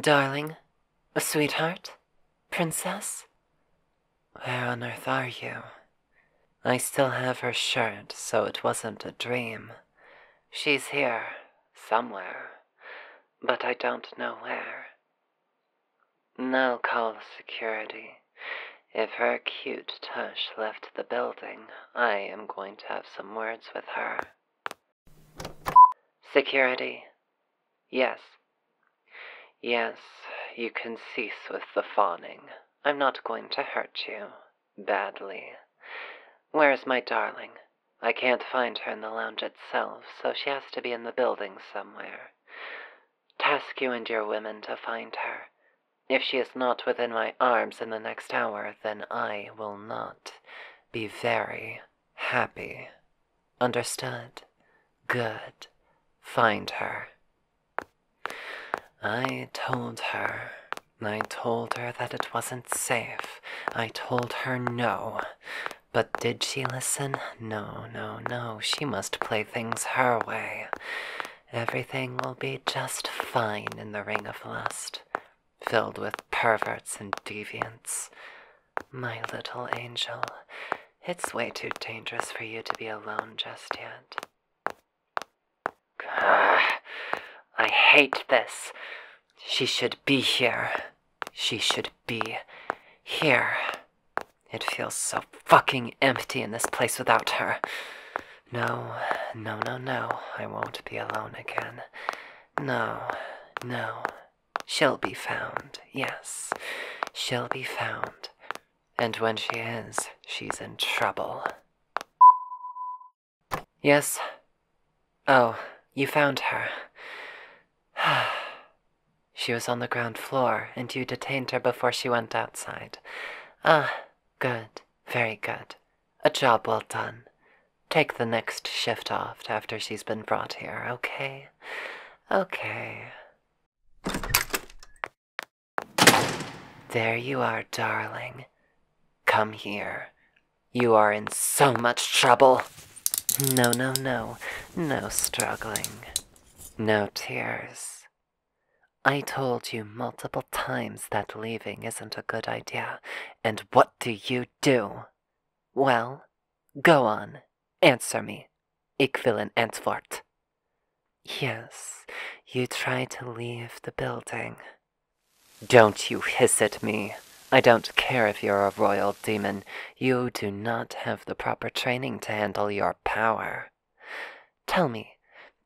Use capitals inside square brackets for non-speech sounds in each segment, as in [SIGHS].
Darling, sweetheart, princess, where on earth are you? I still have her shirt, so it wasn't a dream. She's here, somewhere, but I don't know where. Now call security. If her cute tush left the building, I am going to have some words with her. Security. Yes. Yes, you can cease with the fawning. I'm not going to hurt you. Badly. Where is my darling? I can't find her in the lounge itself, so she has to be in the building somewhere. Task you and your women to find her. If she is not within my arms in the next hour, then I will not be very Happy. Understood. Good. Find her. I told her. I told her that it wasn't safe. I told her no. But did she listen? No, no, no. She must play things her way. Everything will be just fine in the Ring of Lust filled with perverts and deviants. My little angel, it's way too dangerous for you to be alone just yet. Grr, [SIGHS] I hate this. She should be here. She should be here. It feels so fucking empty in this place without her. No, no, no, no. I won't be alone again. No, no. She'll be found, yes. She'll be found. And when she is, she's in trouble. Yes? Oh, you found her. [SIGHS] she was on the ground floor, and you detained her before she went outside. Ah, good, very good. A job well done. Take the next shift off after she's been brought here, okay? Okay. There you are, darling. Come here. You are in so much trouble. No, no, no. No struggling. No tears. I told you multiple times that leaving isn't a good idea, and what do you do? Well, go on, answer me. Ich will an Antwort. Yes, you try to leave the building. Don't you hiss at me. I don't care if you're a royal demon. You do not have the proper training to handle your power. Tell me,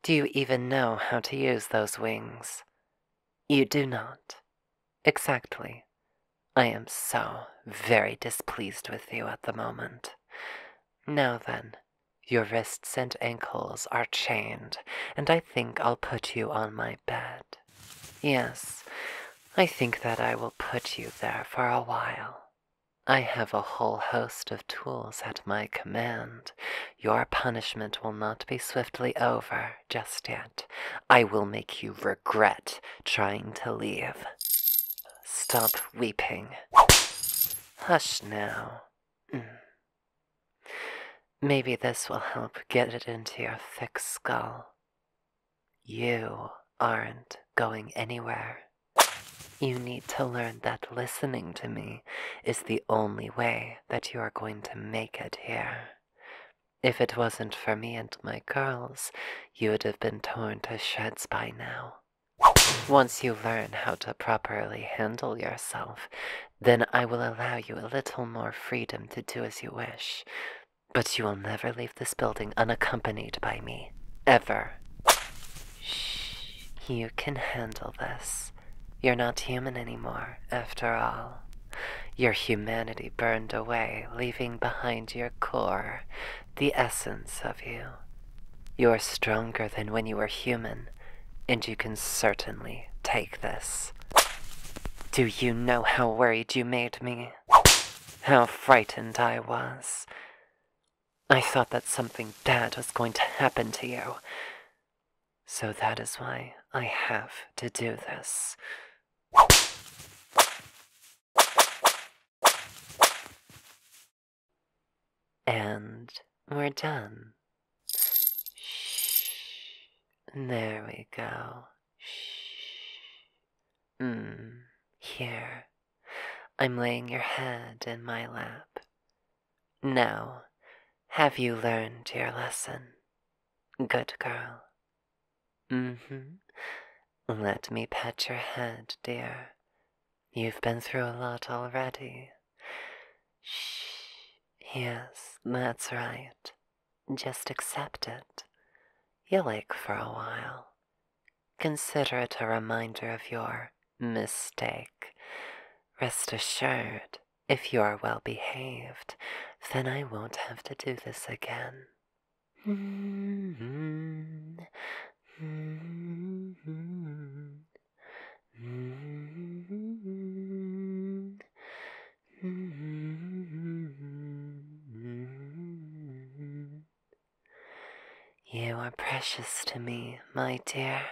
do you even know how to use those wings? You do not. Exactly. I am so very displeased with you at the moment. Now then, your wrists and ankles are chained, and I think I'll put you on my bed. Yes, I think that I will put you there for a while. I have a whole host of tools at my command. Your punishment will not be swiftly over just yet. I will make you regret trying to leave. Stop weeping. Hush now. Mm. Maybe this will help get it into your thick skull. You aren't going anywhere. You need to learn that listening to me is the only way that you are going to make it here. If it wasn't for me and my girls, you would have been torn to shreds by now. Once you learn how to properly handle yourself, then I will allow you a little more freedom to do as you wish. But you will never leave this building unaccompanied by me. Ever. Shh. You can handle this. You're not human anymore, after all. Your humanity burned away, leaving behind your core, the essence of you. You're stronger than when you were human, and you can certainly take this. Do you know how worried you made me? How frightened I was. I thought that something bad was going to happen to you. So that is why I have to do this. And we're done. There we go. Mm, here. I'm laying your head in my lap. Now, have you learned your lesson? Good girl. Mm hmm. Let me pat your head, dear. You've been through a lot already. Shh. Yes, that's right. Just accept it. You'll ache for a while. Consider it a reminder of your mistake. Rest assured, if you're well behaved, then I won't have to do this again. You are precious to me, my dear.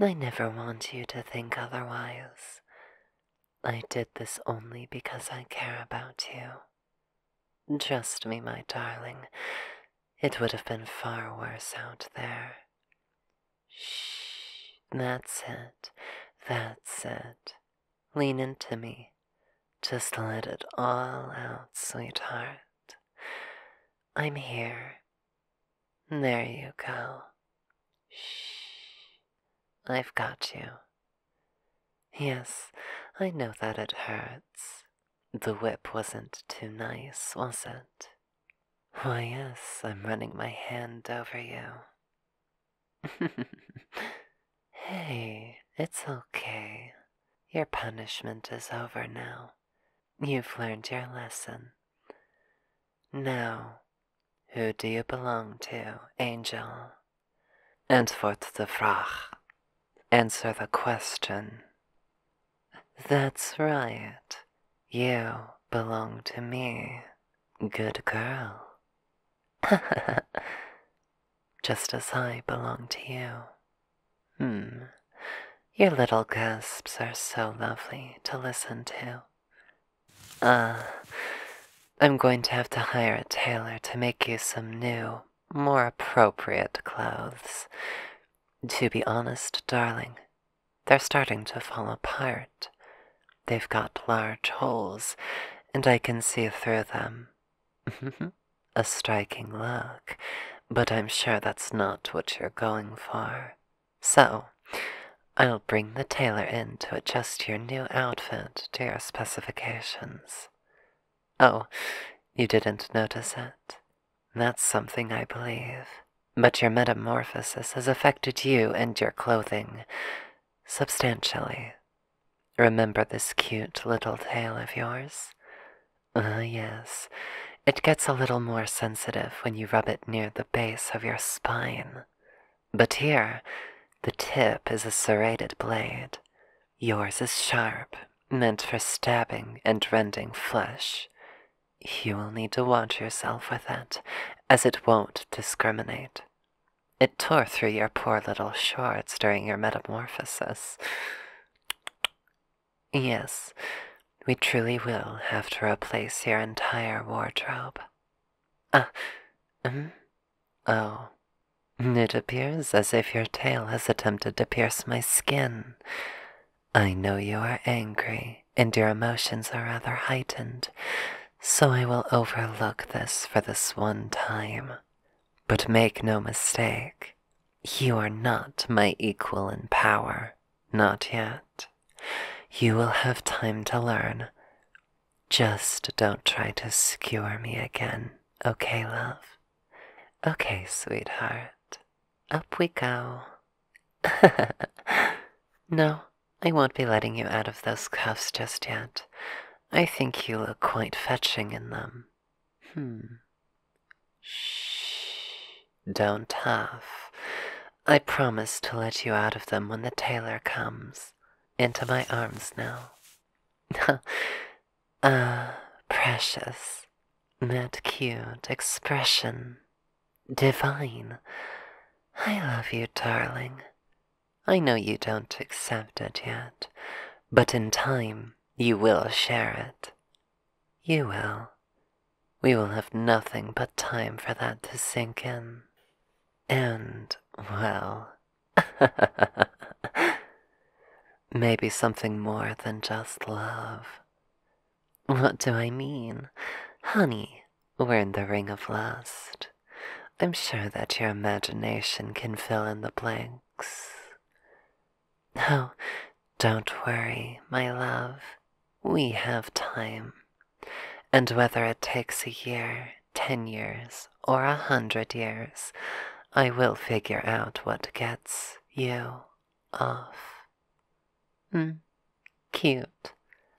I never want you to think otherwise. I did this only because I care about you. Trust me, my darling, it would have been far worse out there. Shh, that's it, that's it. Lean into me. Just let it all out, sweetheart. I'm here. There you go. Shh. I've got you. Yes, I know that it hurts. The whip wasn't too nice, was it? Why, yes, I'm running my hand over you. [LAUGHS] hey, it's okay. Your punishment is over now. You've learned your lesson. Now, who do you belong to, angel? Antwort the Frage. Answer the question. That's right. You belong to me. Good girl. [LAUGHS] Just as I belong to you. Hmm. Your little gasps are so lovely to listen to. Ah, I'm going to have to hire a tailor to make you some new, more appropriate clothes. To be honest, darling, they're starting to fall apart. They've got large holes, and I can see through them. [LAUGHS] a striking look, but I'm sure that's not what you're going for. So, I'll bring the tailor in to adjust your new outfit to your specifications. Oh, you didn't notice it? That's something I believe. But your metamorphosis has affected you and your clothing substantially. Remember this cute little tail of yours? Uh, yes. It gets a little more sensitive when you rub it near the base of your spine. But here, the tip is a serrated blade. Yours is sharp, meant for stabbing and rending flesh. You will need to wash yourself with it, as it won't discriminate. It tore through your poor little shorts during your metamorphosis. Yes, we truly will have to replace your entire wardrobe. Ah, mm? Oh. It appears as if your tail has attempted to pierce my skin. I know you are angry, and your emotions are rather heightened, so I will overlook this for this one time. But make no mistake, you are not my equal in power, not yet. You will have time to learn. Just don't try to skewer me again, okay, love? Okay, sweetheart. Up we go. [LAUGHS] no, I won't be letting you out of those cuffs just yet. I think you look quite fetching in them. Hmm. Shh. Don't huff. I promise to let you out of them when the tailor comes. Into my arms now. [LAUGHS] ah, precious. That cute expression. Divine. I love you, darling. I know you don't accept it yet, but in time you will share it. You will. We will have nothing but time for that to sink in. And, well, [LAUGHS] maybe something more than just love. What do I mean? Honey, we're in the ring of lust. I'm sure that your imagination can fill in the blanks. Oh, don't worry, my love. We have time. And whether it takes a year, ten years, or a hundred years, I will figure out what gets you off. Mm. Cute.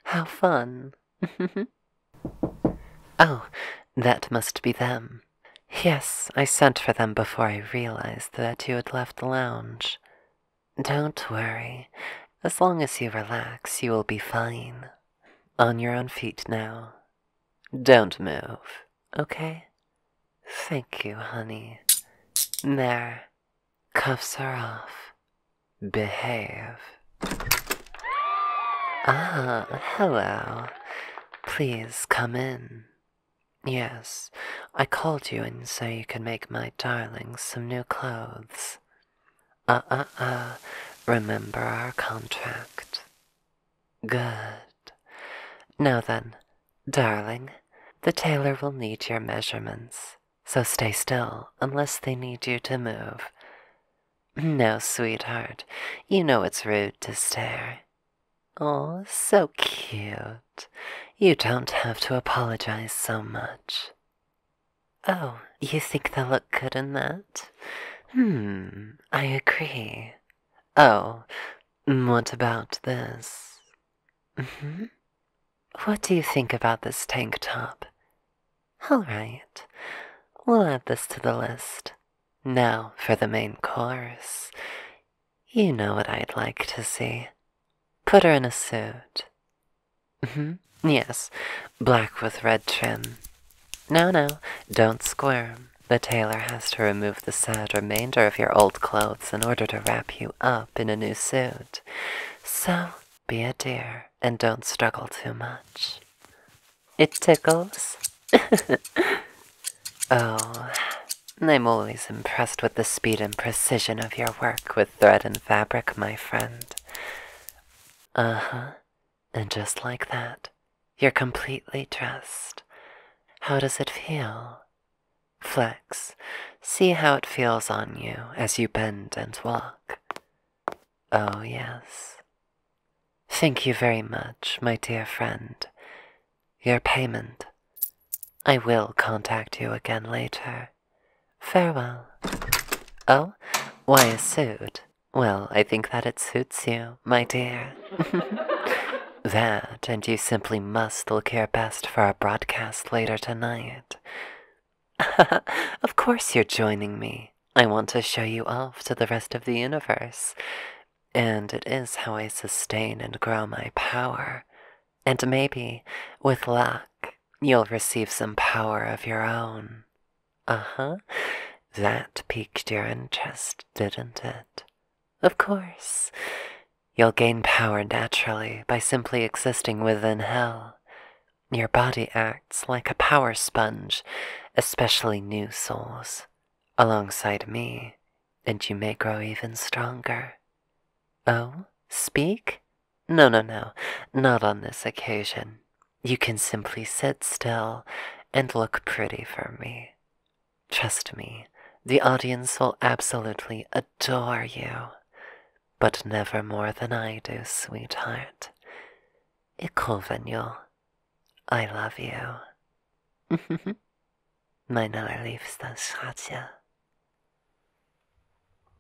How fun. [LAUGHS] oh, that must be them. Yes, I sent for them before I realized that you had left the lounge. Don't worry. As long as you relax, you will be fine. On your own feet now. Don't move, okay? Thank you, honey. There. Cuffs are off. Behave. Ah, hello. Please come in. Yes, I called you in so you could make my darling some new clothes. Uh uh uh. Remember our contract. Good. Now then, darling, the tailor will need your measurements, so stay still unless they need you to move. No, sweetheart, you know it's rude to stare. Oh, so cute. You don't have to apologize so much. Oh, you think they'll look good in that? Hmm, I agree. Oh, what about this? hmm What do you think about this tank top? All right, we'll add this to the list. Now for the main course. You know what I'd like to see. Put her in a suit hmm Yes, black with red trim. No, no, don't squirm. The tailor has to remove the sad remainder of your old clothes in order to wrap you up in a new suit. So, be a dear and don't struggle too much. It tickles. [LAUGHS] oh, I'm always impressed with the speed and precision of your work with thread and fabric, my friend. Uh huh. And just like that, you're completely dressed. How does it feel? Flex. See how it feels on you as you bend and walk. Oh, yes. Thank you very much, my dear friend. Your payment. I will contact you again later. Farewell. Oh, why a suit? Well, I think that it suits you, my dear. [LAUGHS] that, and you simply must look your best for our broadcast later tonight. [LAUGHS] of course you're joining me. I want to show you off to the rest of the universe. And it is how I sustain and grow my power. And maybe, with luck, you'll receive some power of your own. Uh huh. That piqued your interest, didn't it? Of course. You'll gain power naturally by simply existing within hell. Your body acts like a power sponge, especially new souls, alongside me, and you may grow even stronger. Oh, speak? No, no, no, not on this occasion. You can simply sit still and look pretty for me. Trust me, the audience will absolutely adore you, but never more than I do, sweetheart. Ikovenyo, I love you. [LAUGHS] Meine allerliebste Schatje.